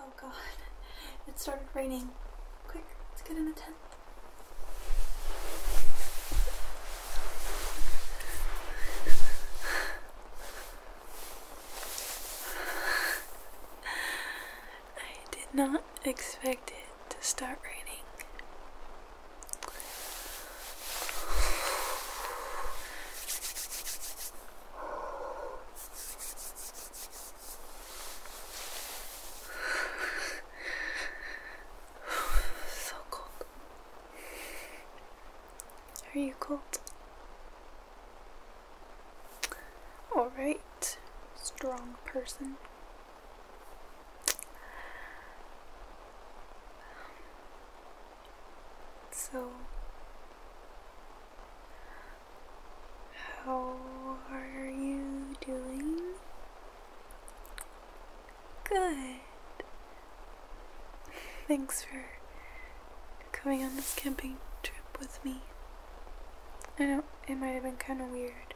Oh god, it started raining. Quick, let's get in the tent. I did not expect it to start raining. so cold. Are you cold? Alright, strong person. So, how are you doing? Good. Thanks for coming on this camping trip with me. I know it might have been kind of weird,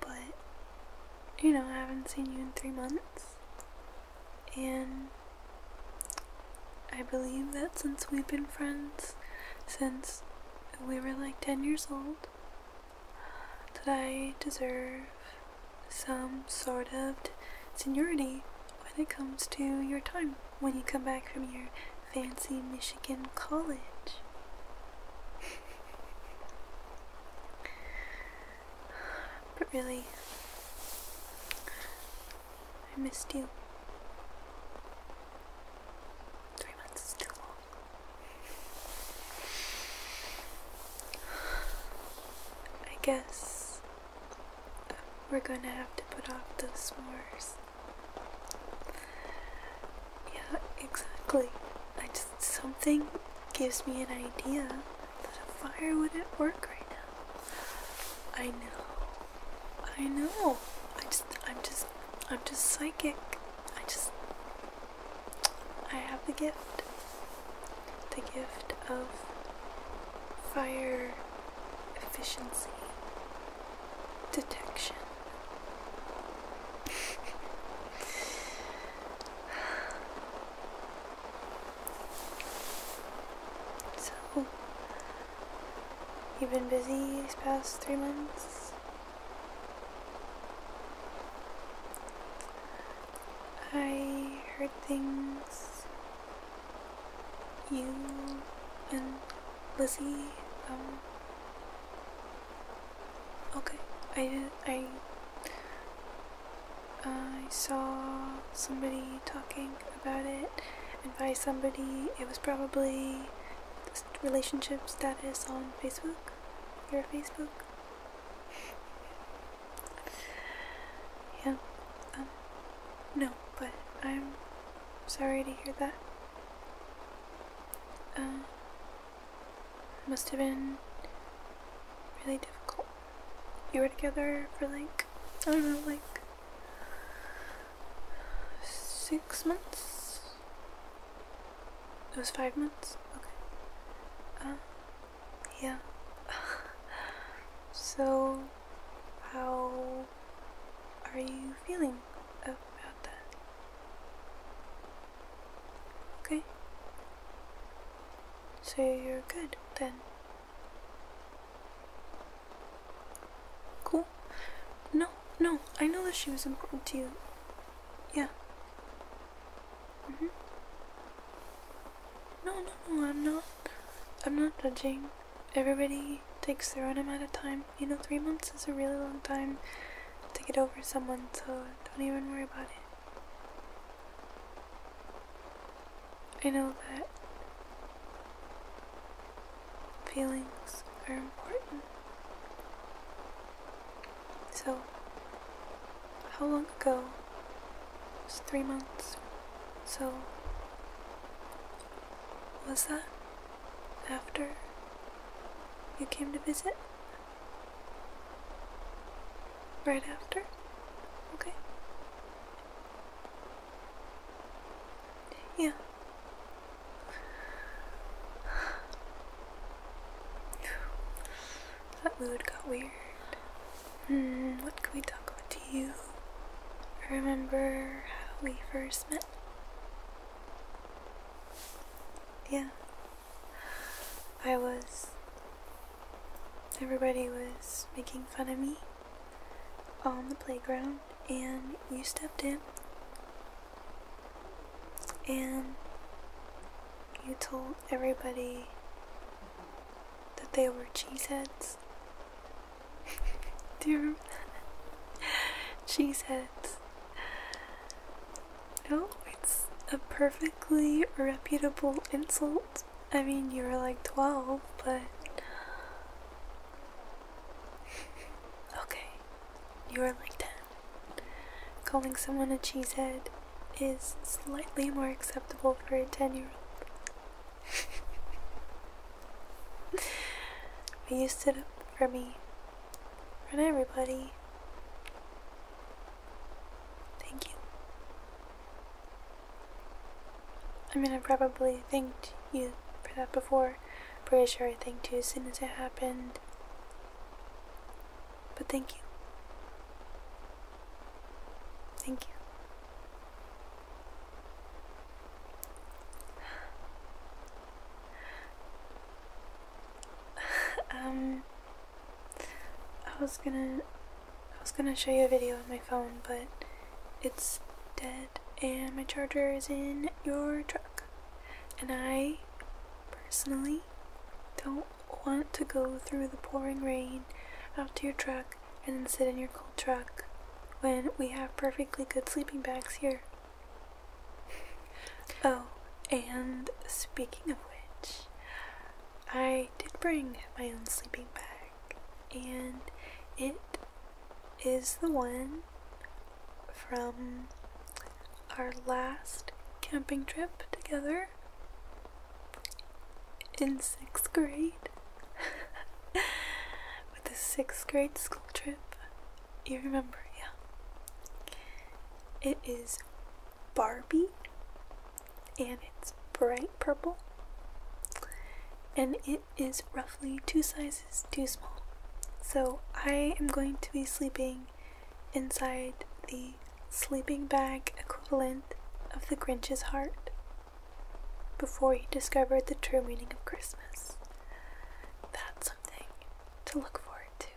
but you know, I haven't seen you in three months, and I believe that since we've been friends, since we were like 10 years old, that I deserve some sort of seniority when it comes to your time when you come back from your fancy Michigan college. but really, I missed you. Three months is too long. I guess we're gonna have to put off those s'mores. Yeah, exactly. I just something gives me an idea that a fire wouldn't work right now. I know. I know. I just I'm just I'm just psychic. I just I have the gift the gift of fire efficiency detection. so, you've been busy these past three months? I heard things. You and Lizzie. Um, okay, I I. I saw somebody talking about it, and by somebody, it was probably relationship status on Facebook. Your Facebook. Yeah, um, no, but I'm sorry to hear that. Uh, must have been really difficult. You were together for like, I don't know, like six months? It was five months? Okay. Uh, yeah so how are you feeling about that okay so you're good then cool no no i know that she was important to you yeah mm-hmm no, no, no, I'm not. I'm not judging. Everybody takes their own amount of time. You know, three months is a really long time to get over someone, so don't even worry about it. I know that feelings are important. So, how long ago was three months so, was that after you came to visit? Right after? Okay. Yeah. That mood got weird. Hmm, what can we talk about? Do you remember how we first met? Yeah. I was. Everybody was making fun of me on the playground, and you stepped in. And you told everybody that they were cheeseheads. Do cheeseheads. No, it's a perfectly reputable insult. I mean, you were like 12, but. okay, you are like 10. Calling someone a cheesehead is slightly more acceptable for a 10 year old but you stood up for me, for everybody. Thank you. I mean, I probably thanked you for that before. Pretty sure I thanked you as soon as it happened. But thank you. Thank you. um, I was gonna, I was gonna show you a video on my phone, but it's dead, and my charger is in your truck, and I personally don't want to go through the pouring rain out to your truck and sit in your cold truck when we have perfectly good sleeping bags here. oh, and speaking of which, I did bring my own sleeping bag, and it is the one from our last camping trip together in sixth grade with the sixth grade school trip. You remember, yeah. It is Barbie and it's bright purple and it is roughly two sizes too small. So I am going to be sleeping inside the sleeping bag equivalent of the Grinch's heart before he discovered the true meaning of Christmas. That's something to look forward to.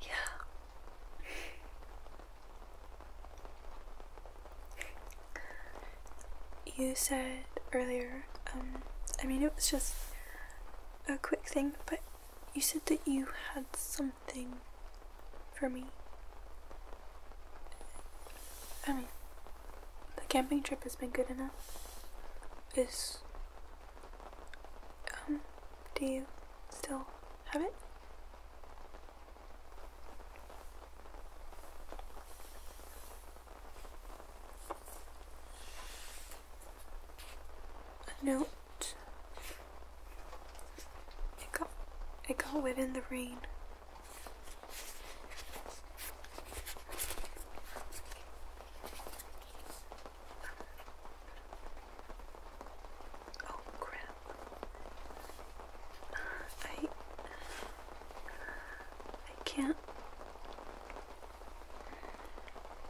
yeah. You said earlier, um, I mean, it was just a quick thing, but you said that you had something for me. I mean, the camping trip has been good enough. Is. Um, do you still have it? A note I got, I got wet in the rain. Oh crap. I I can't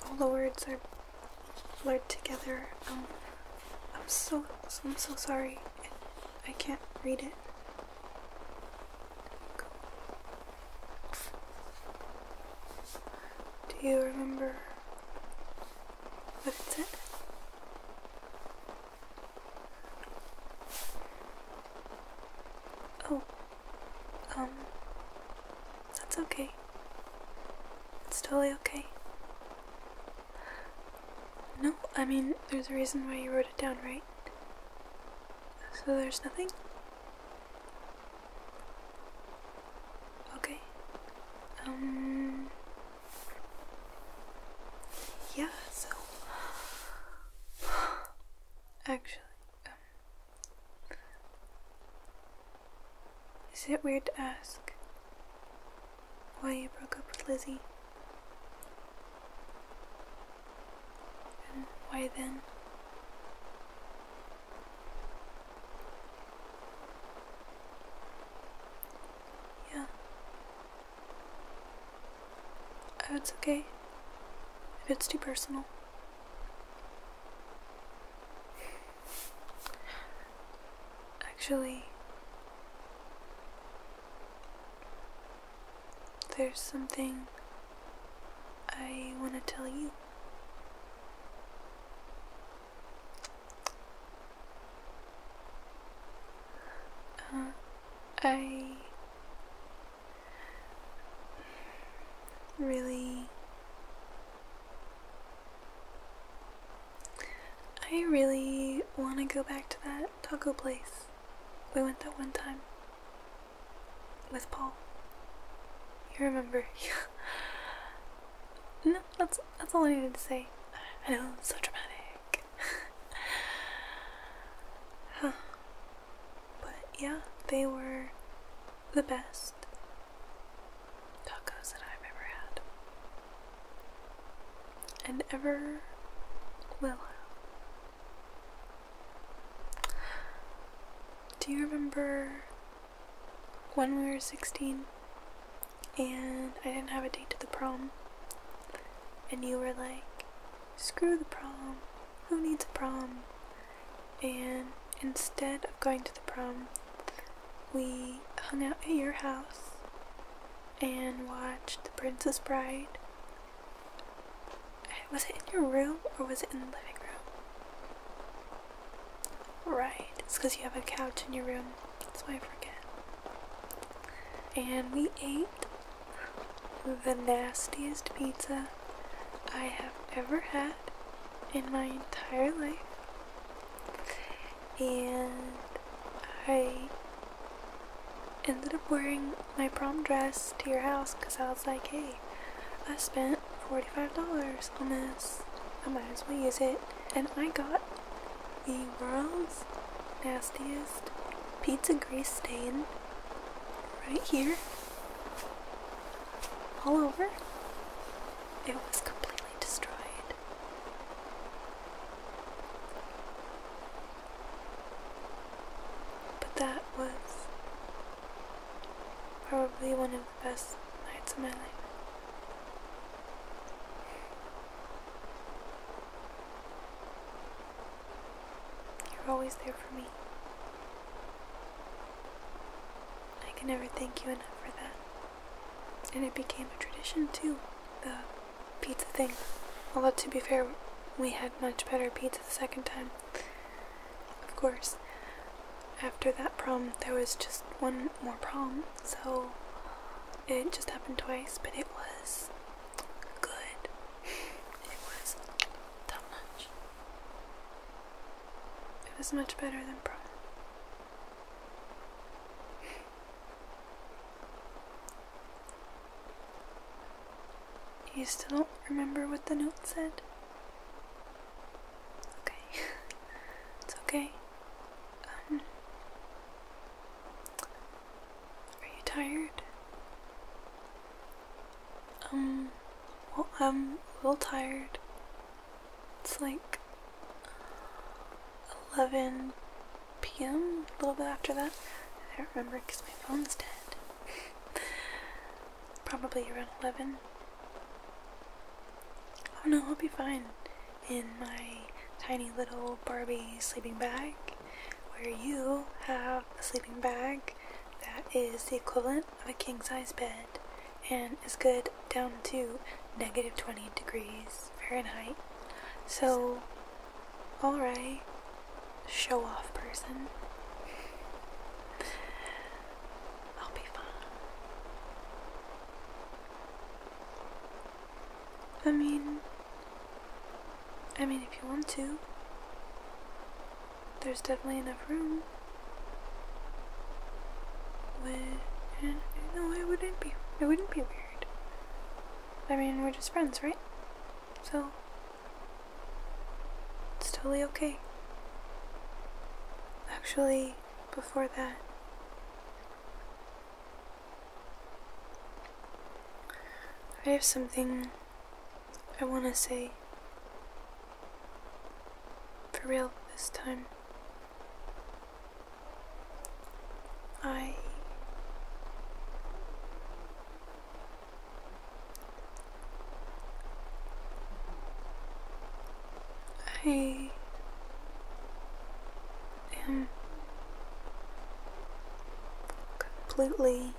all the words are blurred together. Um, I'm so I'm so sorry. I can't read it. Do you remember what it said? Oh, um, that's okay. It's totally okay. No, I mean, there's a reason why you wrote it down, right? So there's nothing? Okay. Um. Yeah, so. Actually, um, is it weird to ask why you broke up with Lizzie? And why then? Yeah. Oh, it's okay if it's too personal. Actually, there's something I want to tell you. Uh, I really I really want to go back to that taco place. We went that one time. With Paul. You remember. no, that's, that's all I needed to say. I know, it's so dramatic. But yeah, they were the best tacos that I've ever had. And ever will Do you remember when we were 16 and I didn't have a date to the prom? And you were like, screw the prom, who needs a prom? And instead of going to the prom, we hung out at your house and watched The Princess Bride. Was it in your room or was it in the living room? Right, it's because you have a couch in your room. That's why I forget. And we ate the nastiest pizza I have ever had in my entire life and I ended up wearing my prom dress to your house because I was like, hey, I spent $45 on this. I might as well use it. And I got the world's nastiest pizza grease stain right here all over. It was complete destroyed. But that was probably one of the best nights of my life. You're always there for me. I can never thank you enough for that. And it became a tradition too, the pizza thing. Although, to be fair, we had much better pizza the second time. Of course, after that prom, there was just one more prom, so it just happened twice, but it was good. It was top notch. It was much better than prom. You still remember what the note said? Okay. it's okay. Um, are you tired? Um, well, I'm a little tired. It's like 11 p.m., a little bit after that. I don't remember because my phone's dead. Probably around 11. Oh no, I'll be fine in my tiny little Barbie sleeping bag where you have a sleeping bag that is the equivalent of a king sized bed and it's good down to negative 20 degrees Fahrenheit. So, alright, show off person. I'll be fine. I mean, I mean, if you want to, there's definitely enough room. When, no, it wouldn't be. It wouldn't be weird. I mean, we're just friends, right? So it's totally okay. Actually, before that, I have something I want to say. For real this time. I I am completely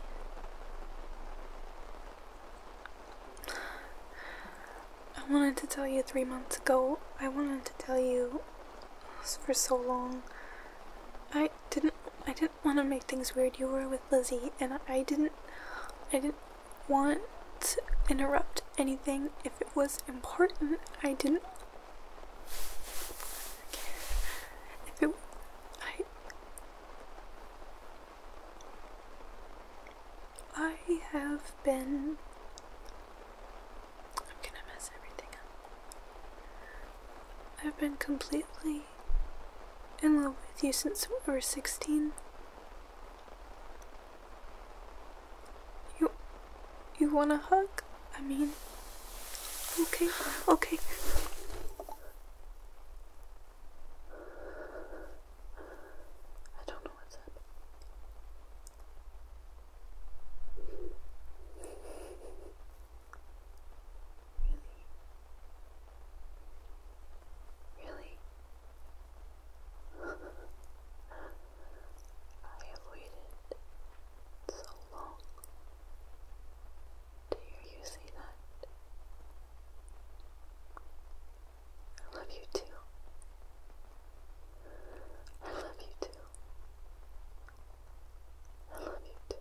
I wanted to tell you three months ago. I wanted to tell you for so long. I didn't I didn't want to make things weird. You were with Lizzie and I didn't I didn't want to interrupt anything if it was important. I didn't if it I I have been I'm gonna mess everything up. I've been completely in love with you since we were 16. You, you want a hug? I mean, okay, okay. I don't know what's up. Really? Really? I have waited so long to hear you say that. I love you too. I love you too. I love you too.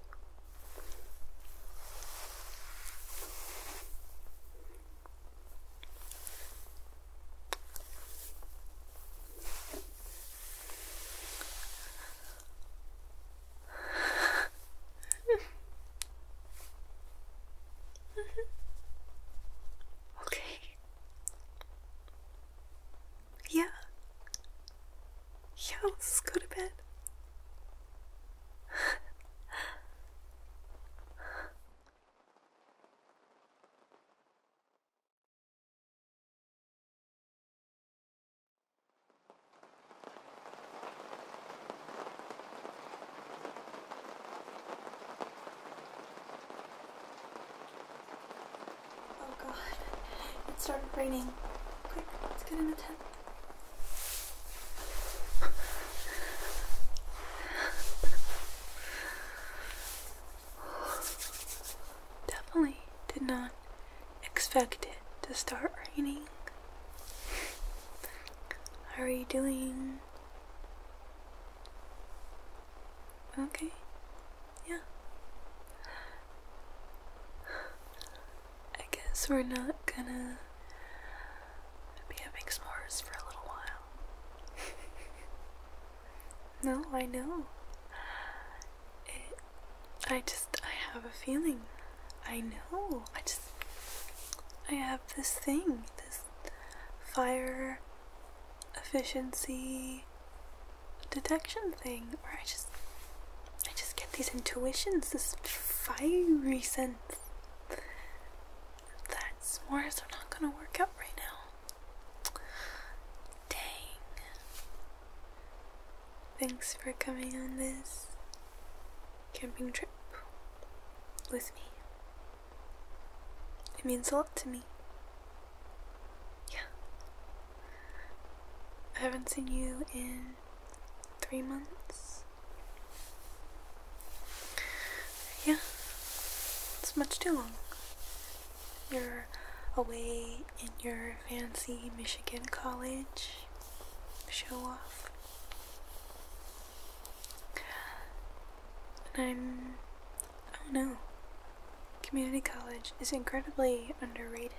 okay. Yeah. Yeah, let's go to bed. Oh god, it started raining. Quick, let's get in the tent. Definitely did not expect it to start raining. How are you doing? Okay. Yeah. I guess we're not gonna be having s'mores for a little while. no, I know. I just, I have a feeling. I know. I just, I have this thing, this fire efficiency detection thing where I just I just get these intuitions, this fiery sense. That's more is not gonna work out right now. Dang. Thanks for coming on this camping trip with me. It means a lot to me. Yeah. I haven't seen you in three months. Yeah. It's much too long. You're away in your fancy Michigan college. Show off. And I'm Oh no. Community college is incredibly underrated.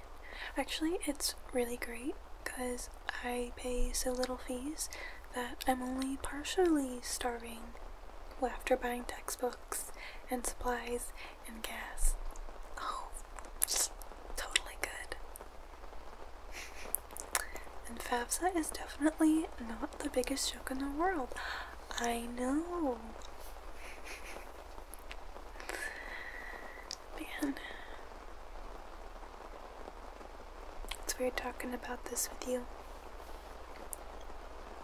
Actually, it's really great because I pay so little fees that I'm only partially starving after buying textbooks and supplies and gas. Oh, totally good. and FAFSA is definitely not the biggest joke in the world. I know. Man. It's weird talking about this with you.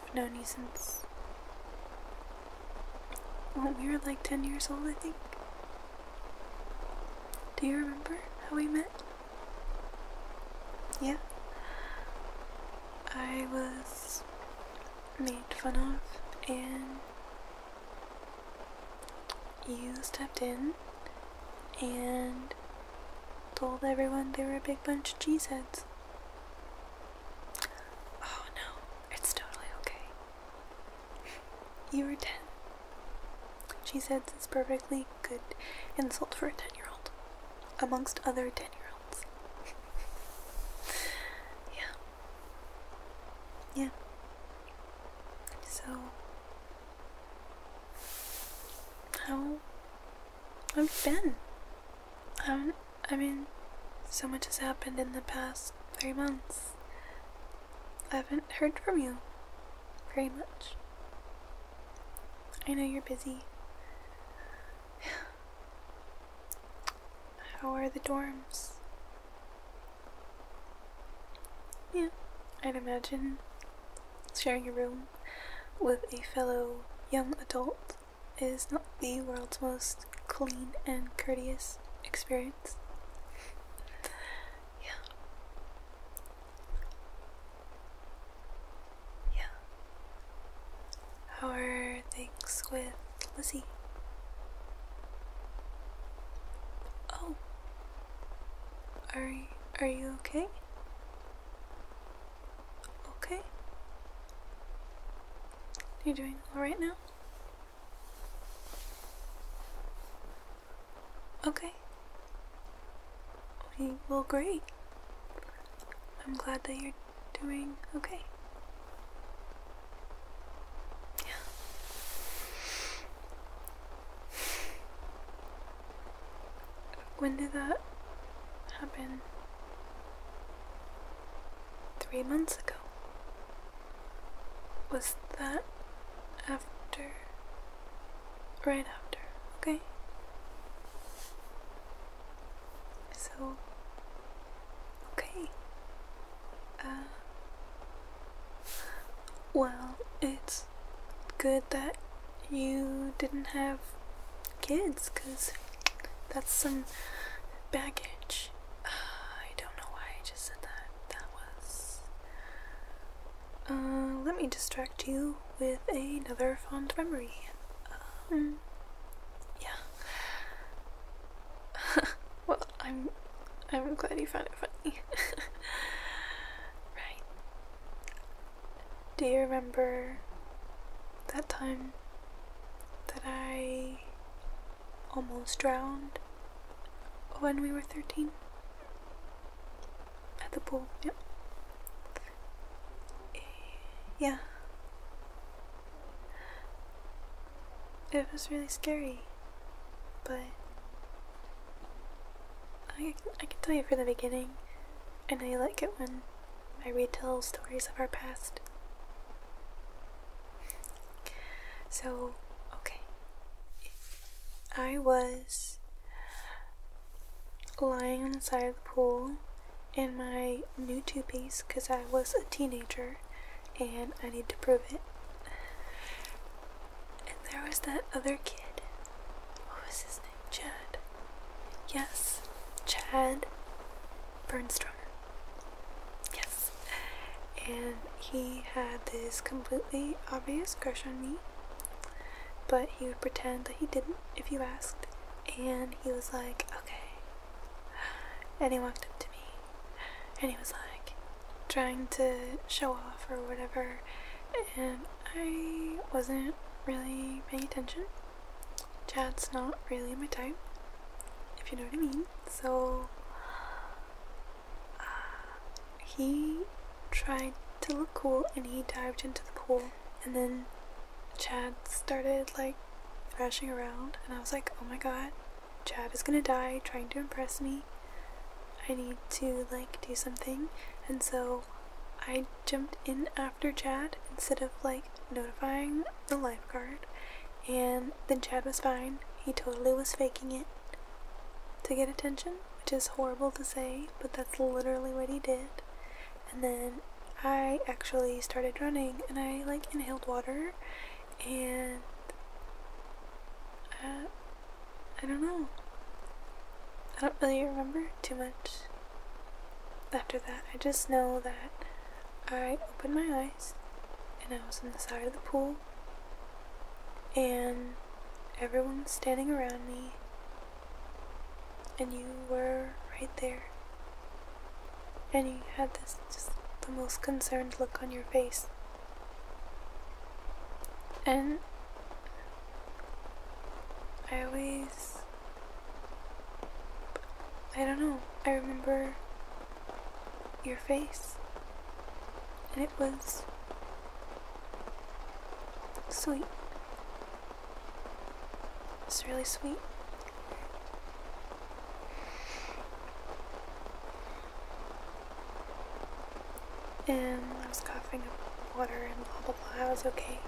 I've known you since. Well, we were like 10 years old, I think. Do you remember how we met? Yeah. I was made fun of and you stepped in and told everyone they were a big bunch of cheeseheads. Oh no, it's totally okay. you were 10. Cheeseheads is perfectly good insult for a 10 year old, amongst other 10 year olds. yeah. Yeah. So, how have been? Um, I mean, so much has happened in the past three months. I haven't heard from you very much. I know you're busy. How are the dorms? Yeah, I'd imagine sharing a room with a fellow young adult is not the world's most clean and courteous experience. Yeah. Yeah. How are things with Lizzie? Oh. Are you, are you okay? Okay. you doing all right now? Okay. Okay, well, great. I'm glad that you're doing okay. Yeah. When did that happen? Three months ago. Was that after? Right after, okay? So, okay. Uh, well, it's good that you didn't have kids, because that's some baggage. Uh, I don't know why I just said that. That was. Uh, let me distract you with another fond memory. Um, yeah. well, I'm, I'm glad you found it funny. right. Do you remember that time that I almost drowned when we were 13? at the pool. Eh, yeah. It was really scary, but I I can tell you from the beginning. I know you like it when I retell stories of our past. So, okay. I was lying on the side of the pool in my new two piece because I was a teenager and I need to prove it. And there was that other kid. What was his name? Chad. Yes, Chad Bernstrom. Yes. And he had this completely obvious crush on me, but he would pretend that he didn't if you asked and he was like, okay. And he walked up to me and he was like trying to show off or whatever, and I wasn't really paying attention. Chad's not really my type, if you know what I mean. So uh, he tried to look cool and he dived into the pool and then Chad started like thrashing around, and I was like, oh my god, Chad is gonna die trying to impress me. I need to like do something, and so I jumped in after Chad instead of like notifying the lifeguard, and then Chad was fine. He totally was faking it to get attention, which is horrible to say, but that's literally what he did and then I actually started running and I like inhaled water and uh, I don't know. I don't really remember too much after that. I just know that I opened my eyes and I was on the side of the pool and everyone was standing around me and you were right there. And you had this the most concerned look on your face. And I always. I don't know. I remember your face. And it was sweet it's really sweet. And I was coughing up water and blah blah blah. I was okay.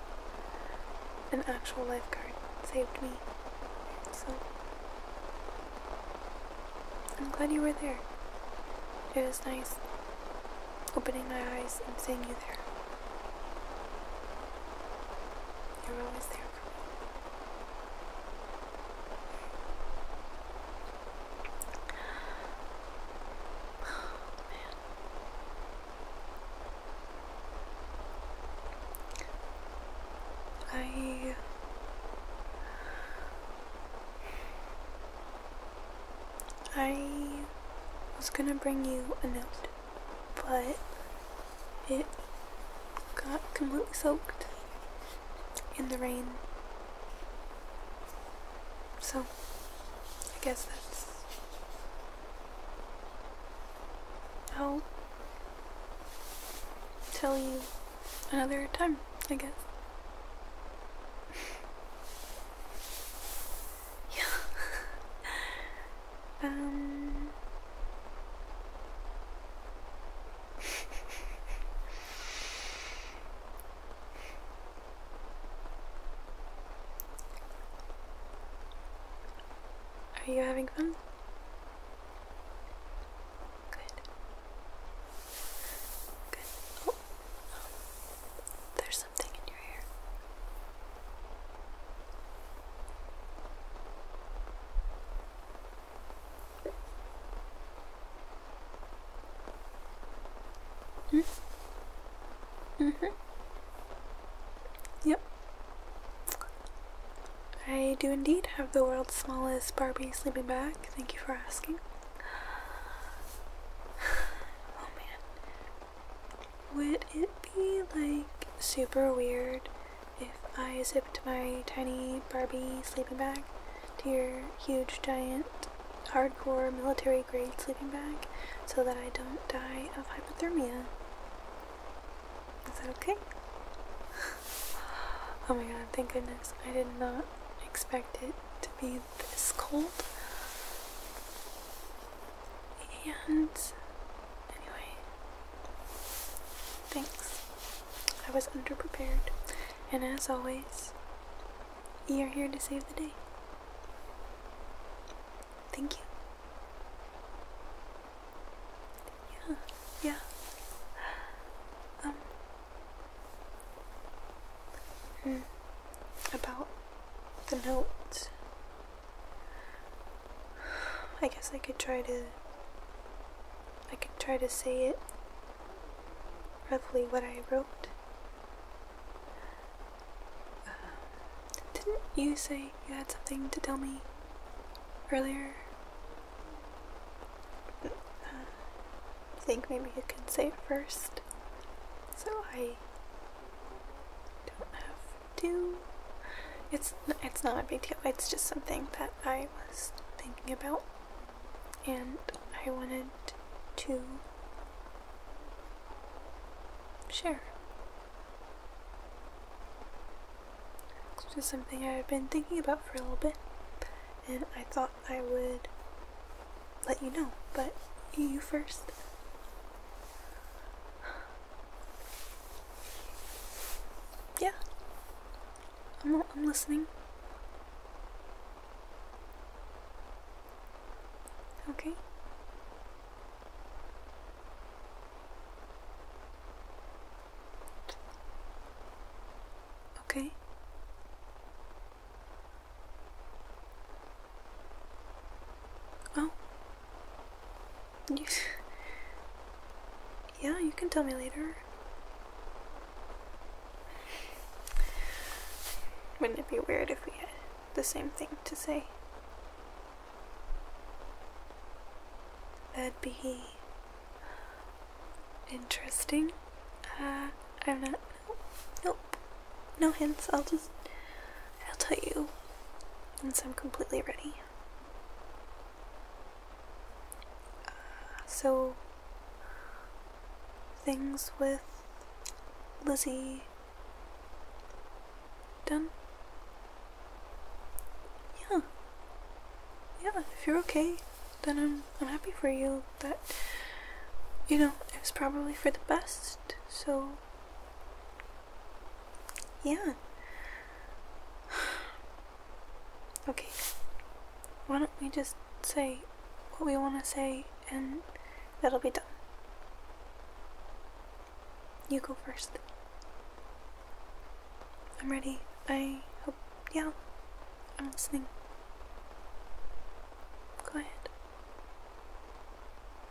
An actual lifeguard saved me. So I'm glad you were there. It was nice opening my eyes and seeing you there. You're always there oh, man. I I was gonna bring you a note but it got completely soaked in the rain. So, I guess that's I'll tell you another time, I guess. Um, are you having fun? Good. Good. Oh. There's something in your hair. hmm. Mm hmm. Yep. I do indeed have the world's smallest Barbie sleeping bag. Thank you for asking. Oh man, would it be like super weird if I zipped my tiny Barbie sleeping bag to your huge, giant, hardcore military grade sleeping bag so that I don't die of hypothermia? Is that okay? oh my god, thank goodness. I did not expect it to be this cold. And anyway, thanks. I was underprepared. And as always, you're here to save the day. Thank you. Yeah, yeah. Um, mm, about the notes. I guess I could try to I could try to say it roughly what I wrote. didn't you say you had something to tell me earlier? Uh, I think maybe you can say it first. So I don't have do. It's it's not a big deal. It's just something that I was thinking about, and I wanted to share. It's just something I've been thinking about for a little bit, and I thought I would let you know, but you first. Yeah. I'm, listening. Okay. Okay. Oh. yeah, you can tell me later. Wouldn't it be weird if we had the same thing to say? That'd be interesting. Uh, I'm not. Nope. nope. No hints, I'll just I'll tell you once I'm completely ready. so things with Lizzie done? Yeah. Yeah, if you're okay, then I'm I'm happy for you But, you know, it's probably for the best, so yeah. Okay. Why don't we just say what we want to say and that'll be done. You go first. I'm ready. I hope. Yeah. I'm listening. Go ahead.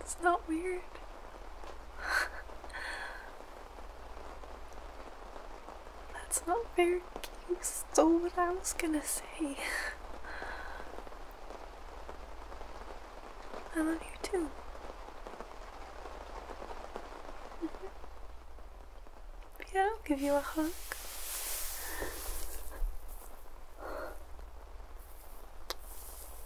It's not weird. That's not fair. You stole what I was gonna say. I love you too. Yeah, I'll give you a hug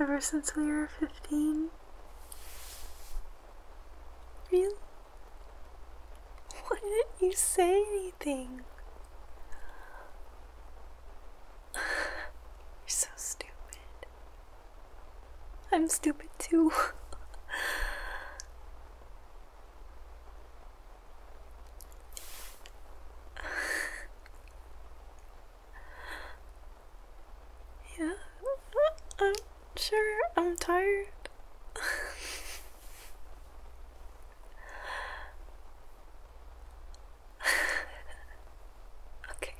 ever since we were 15. Really? Why didn't you say anything? You're so stupid. I'm stupid too. Yeah, I'm sure I'm tired. okay.